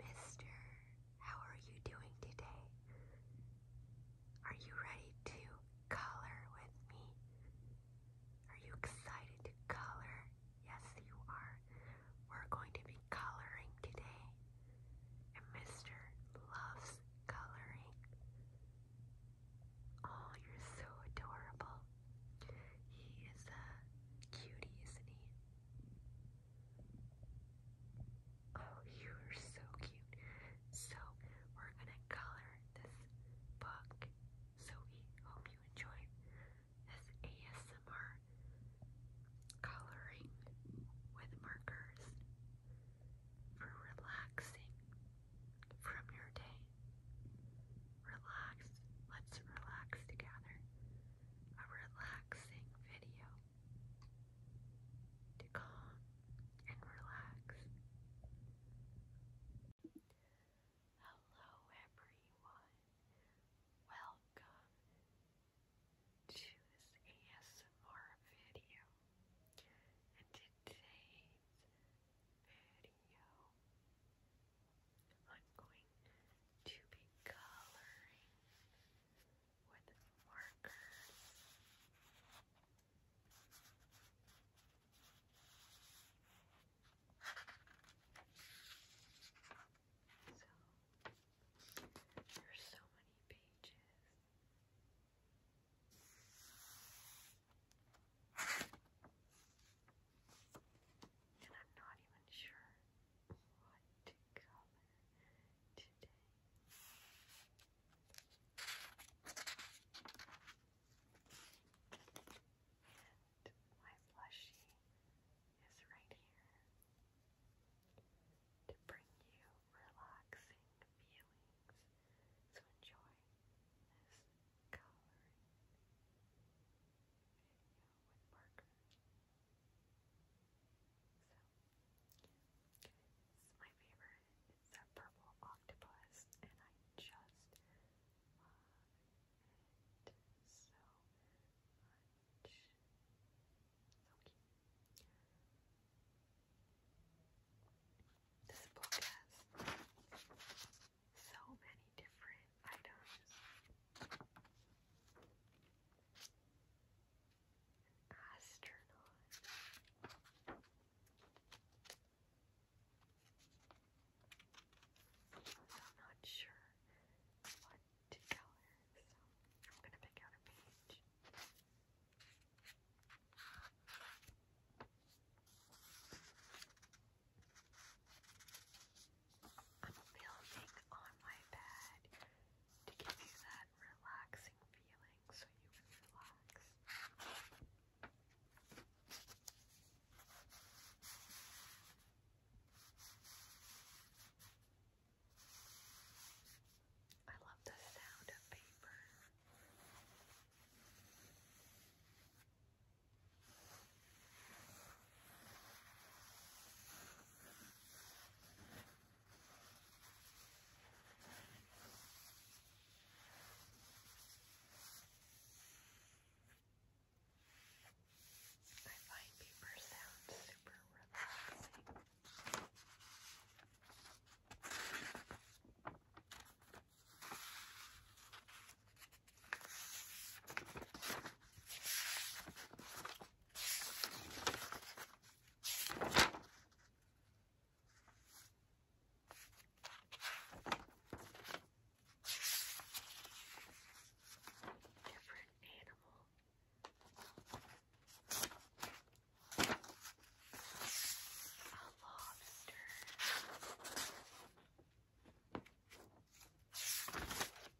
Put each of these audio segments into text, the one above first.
Mister, how are you doing today? Are you ready to color with me? Are you excited to color? Yes, you are. We're going to be coloring today. And Mister loves coloring. Oh, you're so adorable. He is a cutie, isn't he? Oh, you are so cute. So, we're gonna color this book. So, we hope you enjoy this ASMR coloring with markers for relaxing from your day. Relax. Let's relax together a relaxing video to calm and relax. Hello, everyone. Welcome to this ASMR video. And today's video, I'm going to be coloring with markers. So there's so many pages. And I'm not even sure what color today? And my plushie is right here to bring you relaxing feelings. So enjoy this coloring with Parker. my favorite. It's that purple octopus, and I just love it so much. So cute. This book has so many different items. Astronaut. I'm not sure what to tell so I'm gonna pick out a page. I'm building on my bed to give you that relaxing feeling so you can relax. I love the sound of paper. I find paper sounds super relaxing. Different animal. A lobster.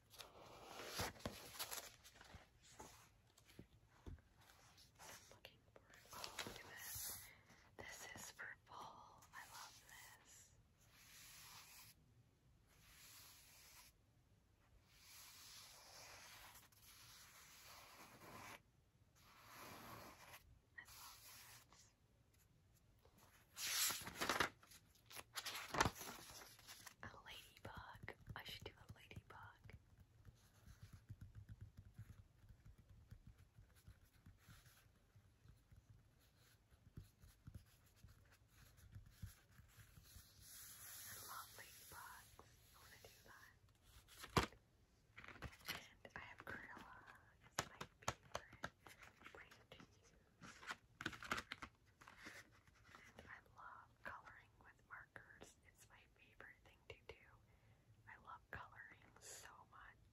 Looking for oh, look at this. This is for I love this. I love this. A ladybug. I should do a ladybug. I love ladybugs. I want to do that. And I have Gorilla. my favorite brand and I love coloring with markers. It's my favorite thing to do. I love coloring so much.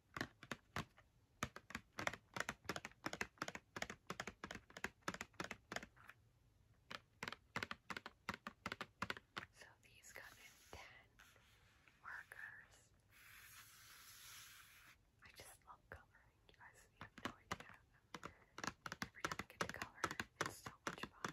So these come in 10 markers. I just love coloring. You guys have no idea. Every time I get to color, it's so much fun.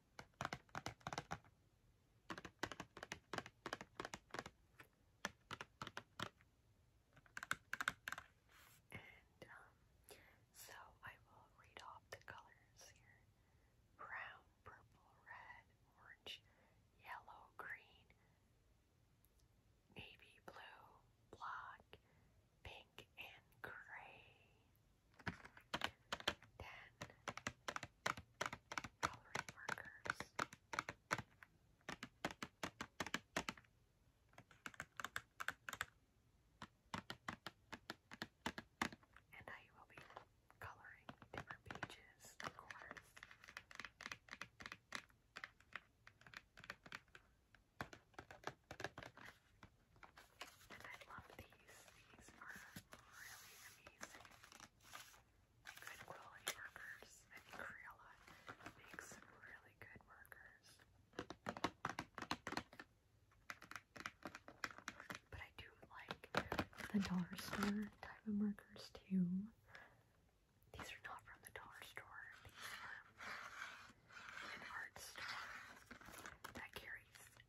And um, so I will read off the colors here brown, purple, red, orange, yellow, green, navy blue, black, pink, and gray. Then coloring markers. And I will be coloring different pages, of course. And I love these. These are really amazing. Good quality burgers. I think Crayola makes really good burgers. But I do like the dollar store type of markers too. These are not from the dollar store. These are an art store that carries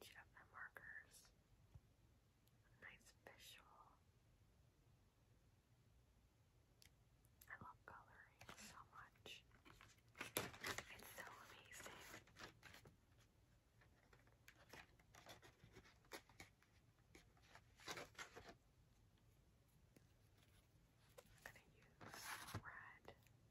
each of the markers. Nice visual. I love coloring so much. It's so amazing. I'm going to use red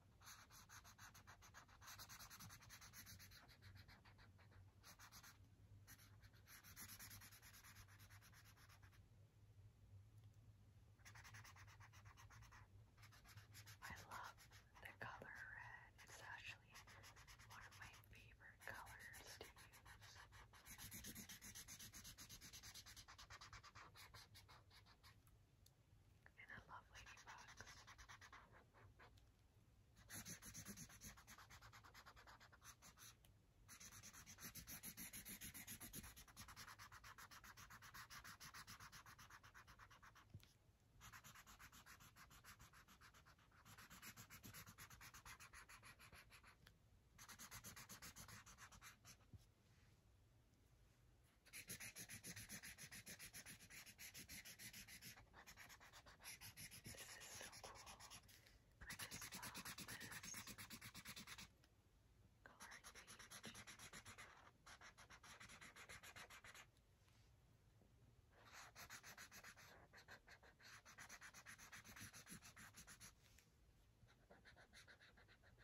I love the color red. It's actually one of my favorite colors to use. And I love ladybugs. This is so cool. I just love this coloring page. I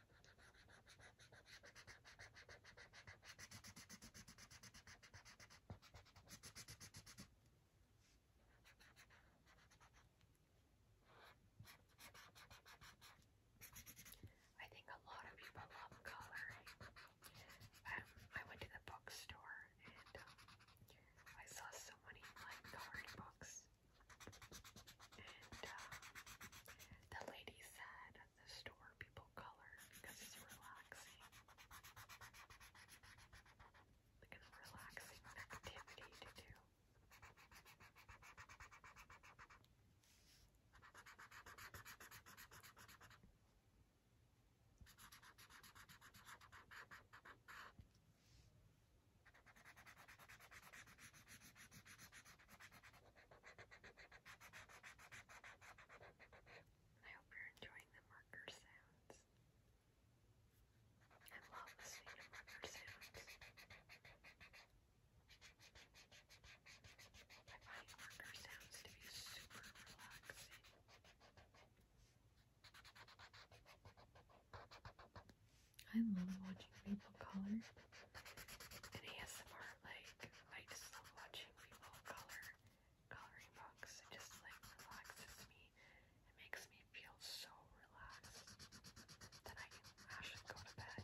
think a lot of people love coloring. Um, I went to the bookstore and um, I saw so many like colored books. And uh, the lady said, at the store people color because it's relaxing. Like it's relaxing activity to do. I I hope you're enjoying the marker sounds. I love listening to marker sounds. I find marker sounds to be super relaxing. I love watching people color and ASMR like I just love watching people color coloring books. It just like relaxes me. It makes me feel so relaxed that I can actually go to bed.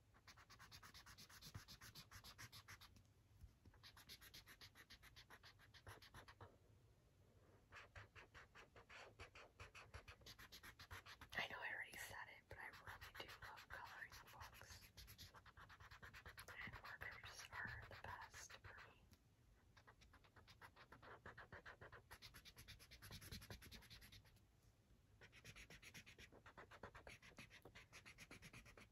I know I already said it, but I really do love coloring books. And markers are the best for me.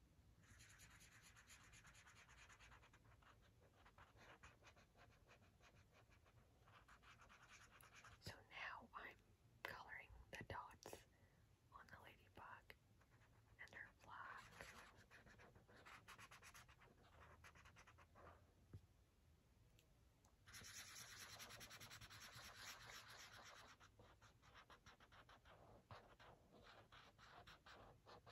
So now I'm coloring the dots on the ladybug and her flag.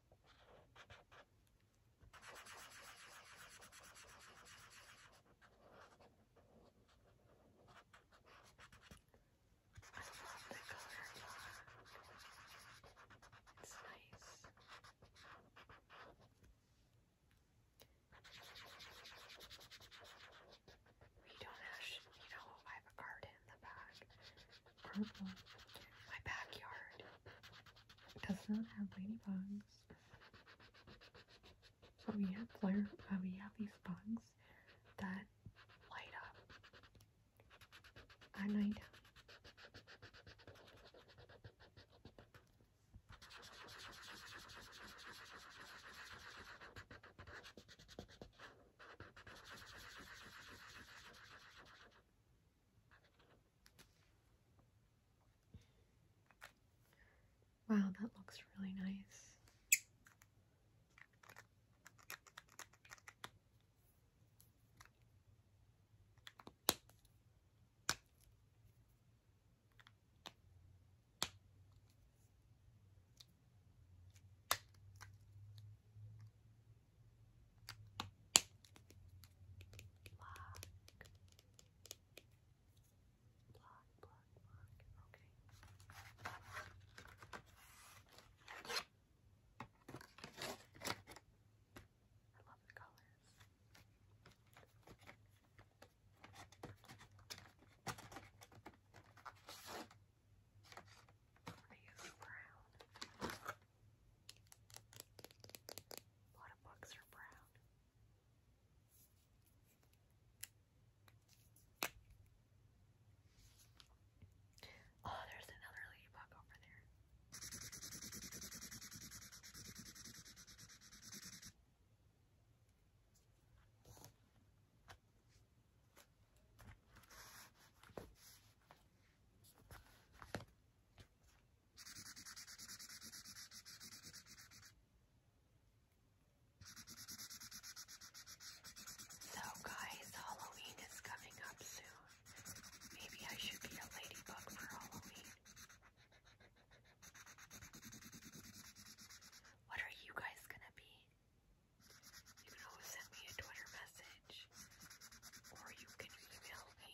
love the color It's nice. We don't have, you know, I have a garden, in the back. Purple. My backyard does not have ladybugs. But we have uh, we have these bugs that light up at night. Wow, that looks really nice. Block. Block, block, block. Okay. I love the colors. These brown. A lot of books are brown. Oh, there's another ladybug over there. So guys, Halloween is coming up soon. Maybe I should be a ladybug for Halloween. What are you guys gonna be? You can send me a Twitter message message, or you can email me.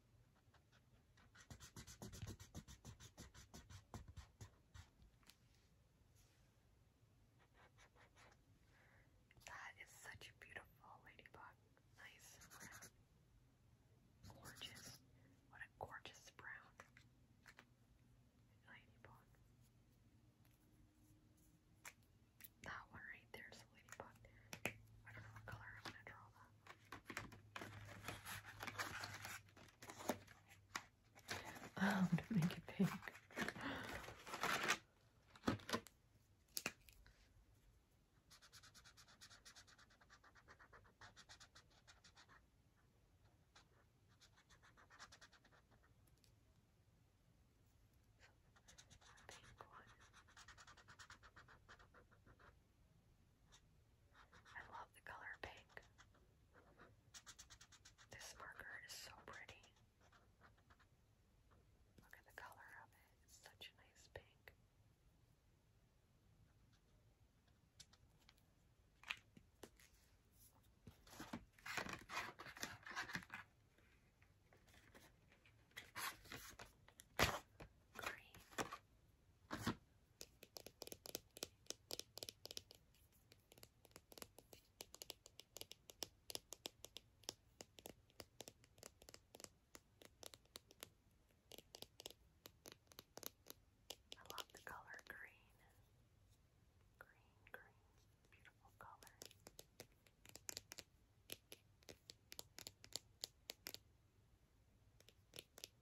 That is such a beautiful ladybug. Nice Gorgeous. What a gorgeous brown ladybug. That one right there is a ladybug. I don't know what color I'm going to draw I'm gonna make it pink. Pink one. I love the color pink. This marker is so pretty. Look at the color of it. It's such a nice pink. Green. I love the color green. Green, green, beautiful color.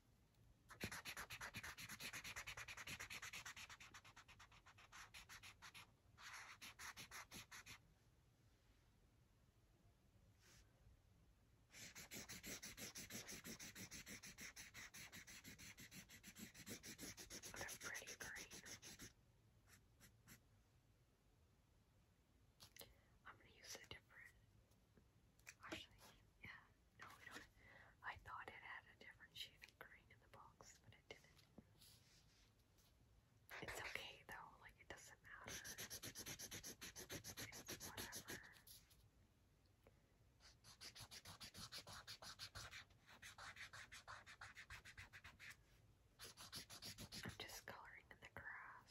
They're pretty green. I'm gonna use a different. Actually, yeah, no, we don't. I thought it had a different shade of green in the box, but it didn't. It's okay though, like it doesn't matter. whatever. I'm just coloring in the grass.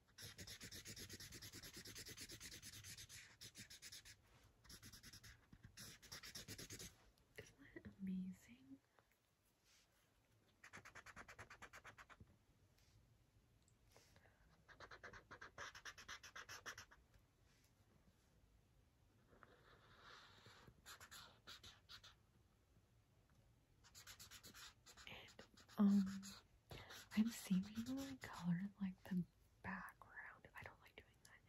Isn't amazing? And um I'm seemingly colored like the background. I don't like doing that.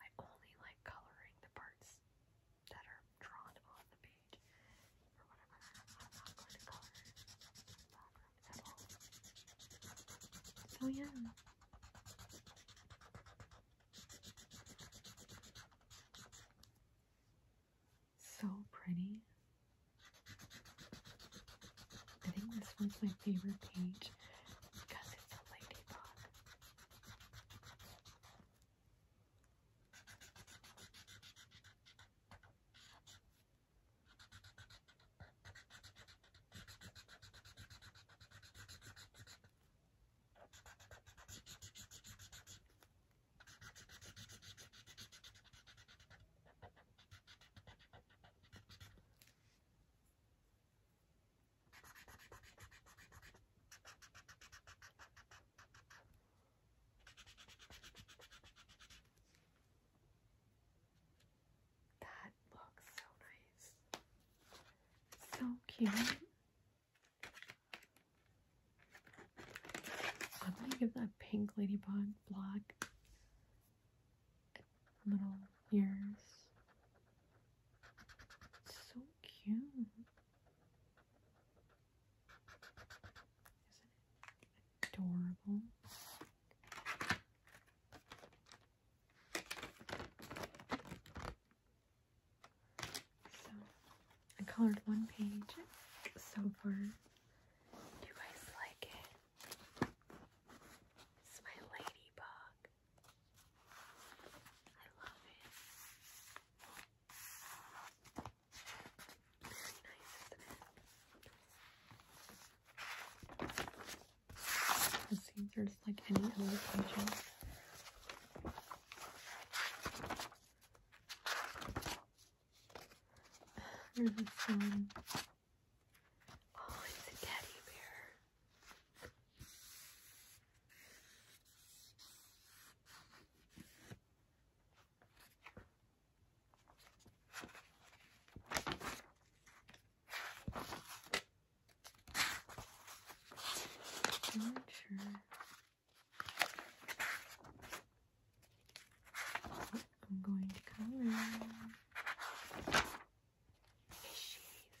I only like coloring the parts that are drawn on the page or yeah. So pretty. I think this one's my favorite page because it's a ladybug. That looks so nice. So cute. I'm gonna give that pink ladybug block little ears. It's so cute. Isn't it adorable? So I colored one page so far. Do you guys like it? It's my ladybug. I love it. Very nice, isn't it? It there's like any other pages. Oh, it's a teddy bear. I'm not sure. I'm going to color fishies.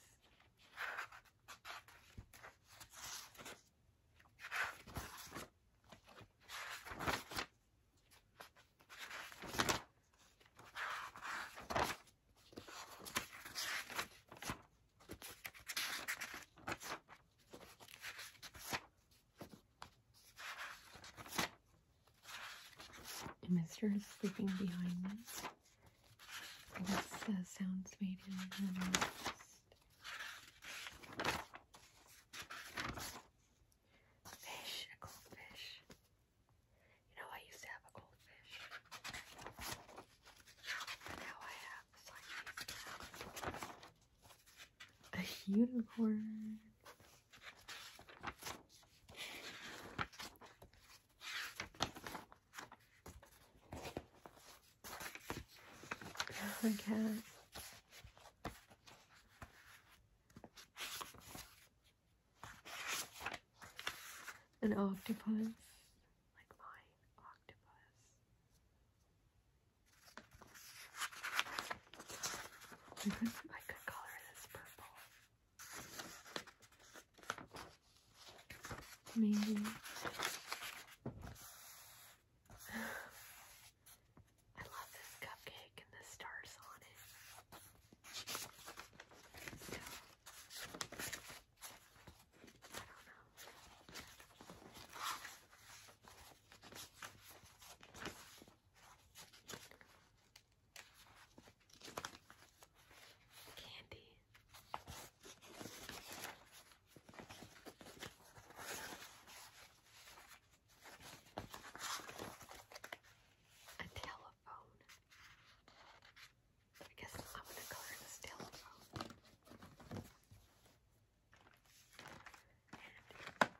Mr. is sleeping behind me. This uh, sounds made in the nest. Fish, goldfish. You know, I used to have a goldfish. But now I have a unicorn. A oh, cat. An octopus. Like mine, octopus. I could color this purple. Maybe. I love this cupcake and the stars on it. I don't know. Candy. A telephone. I guess I'm gonna color this telephone.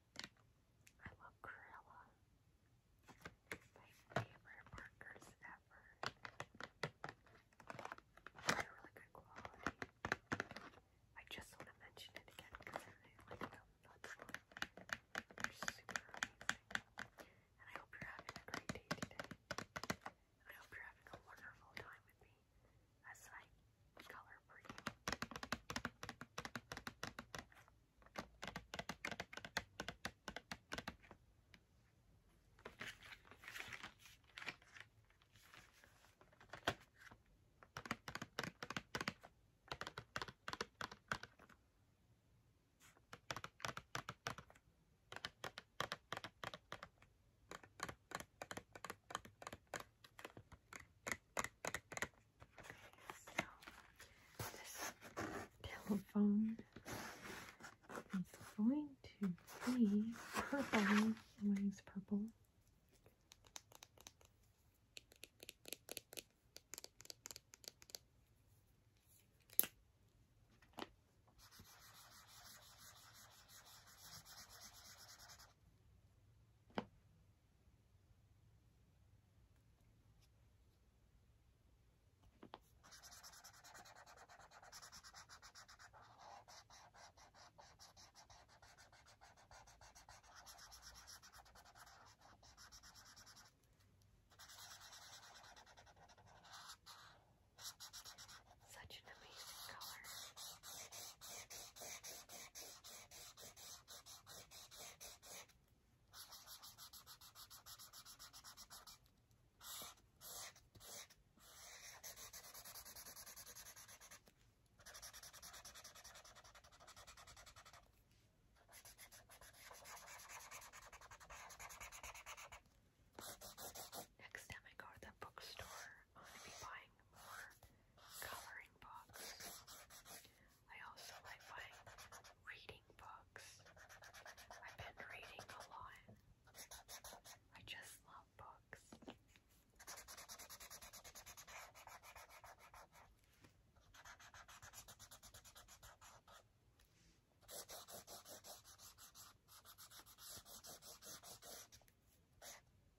I love Cruella. My favorite markers ever. They're really good quality. I just want to mention it again because I really like them. They're super amazing. And I hope you're having a great day today. I hope you're having a wonderful time with me as my color preview this telephone is going to be purple. Wings purple. Such an amazing color. Next time I go to the bookstore, I'm going to be buying more coloring books. I also like buying reading books. I've been reading a lot. I just love books. I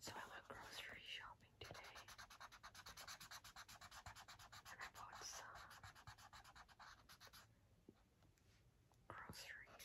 So I went grocery shopping today and I bought some groceries.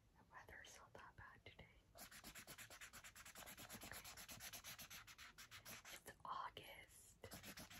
The weather's not that bad today. Okay. It's August. Okay.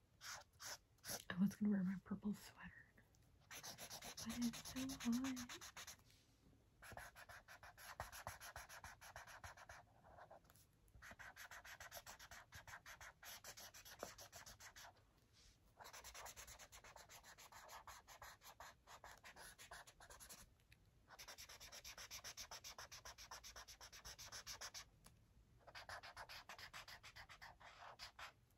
I was gonna wear my purple sweater, but it's so hot.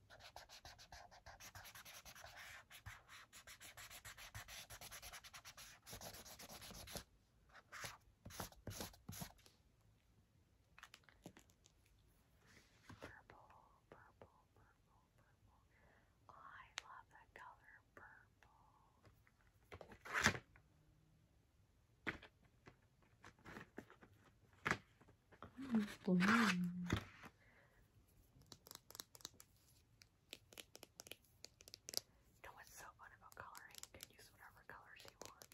Purple, purple, purple, purple. Oh, I love the color purple. Oh, blue. You know what's so fun about coloring? You can use whatever colors you want.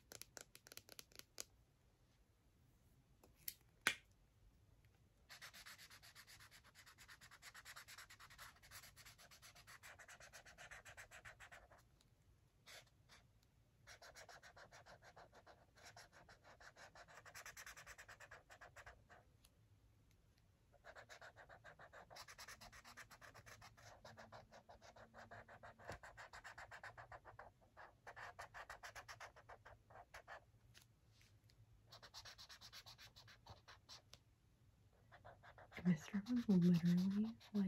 Mr. was literally like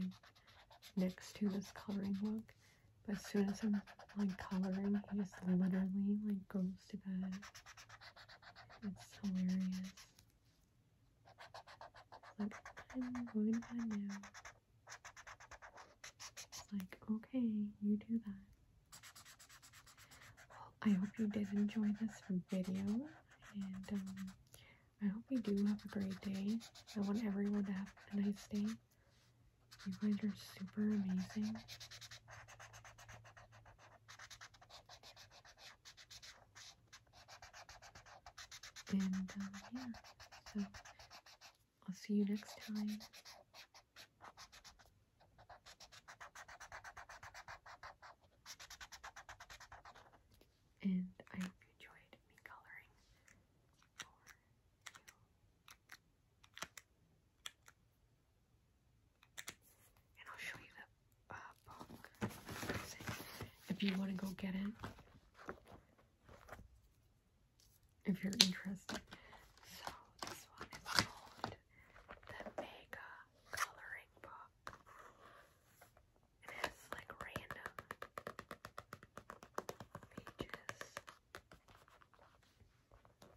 next to this coloring book, but as soon as I'm like coloring, he just literally like goes it's hilarious. Like, I'm going to bed now. It's like, okay, you do that. Well, I hope you did enjoy this video, and um, I hope you do have a great day. I want everyone to have a nice day. You guys are super amazing. And um, yeah, so I'll see you next time. And I hope you enjoyed me coloring and I'll show you the uh, book if you want to go get it. If you're interested. So this one is called the Mega Coloring Book. It has like random pages.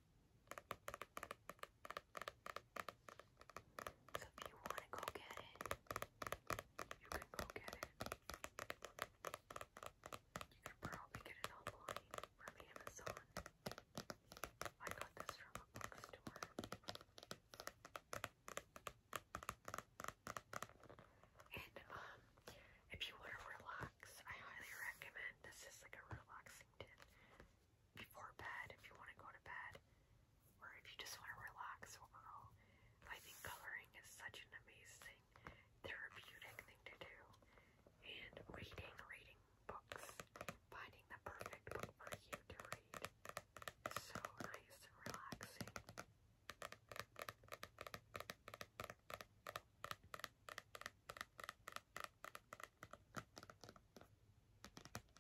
So if you want to go get it, you can go get it. You can probably get it online from Amazon. I got this from a bookstore. And um, if you want to relax, I highly recommend this is like a relaxing Washington before bed if you want to go to bed or if you just want to relax overall. I think coloring is such an amazing therapeutic thing to do. And reading, reading books, finding the perfect book for you to read is so nice and relaxing. Just doing some tapping sounds for you.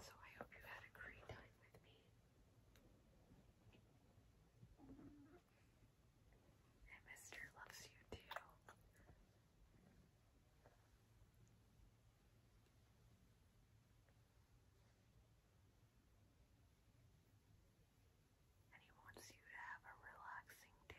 So I hope you had a great time with me. And Mr. loves you too and he wants you to have a relaxing day.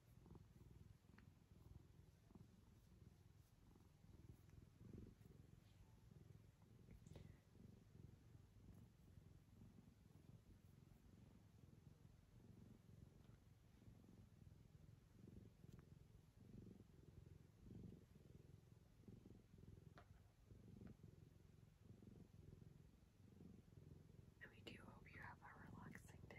And we do hope you have a relaxing day.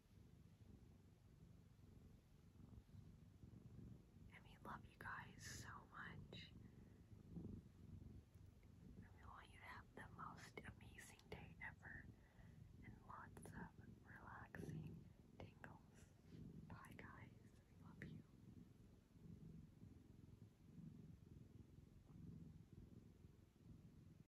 And we love you guys so much. we want you to have the most amazing day ever and lots of relaxing tingles. Bye, guys. love you.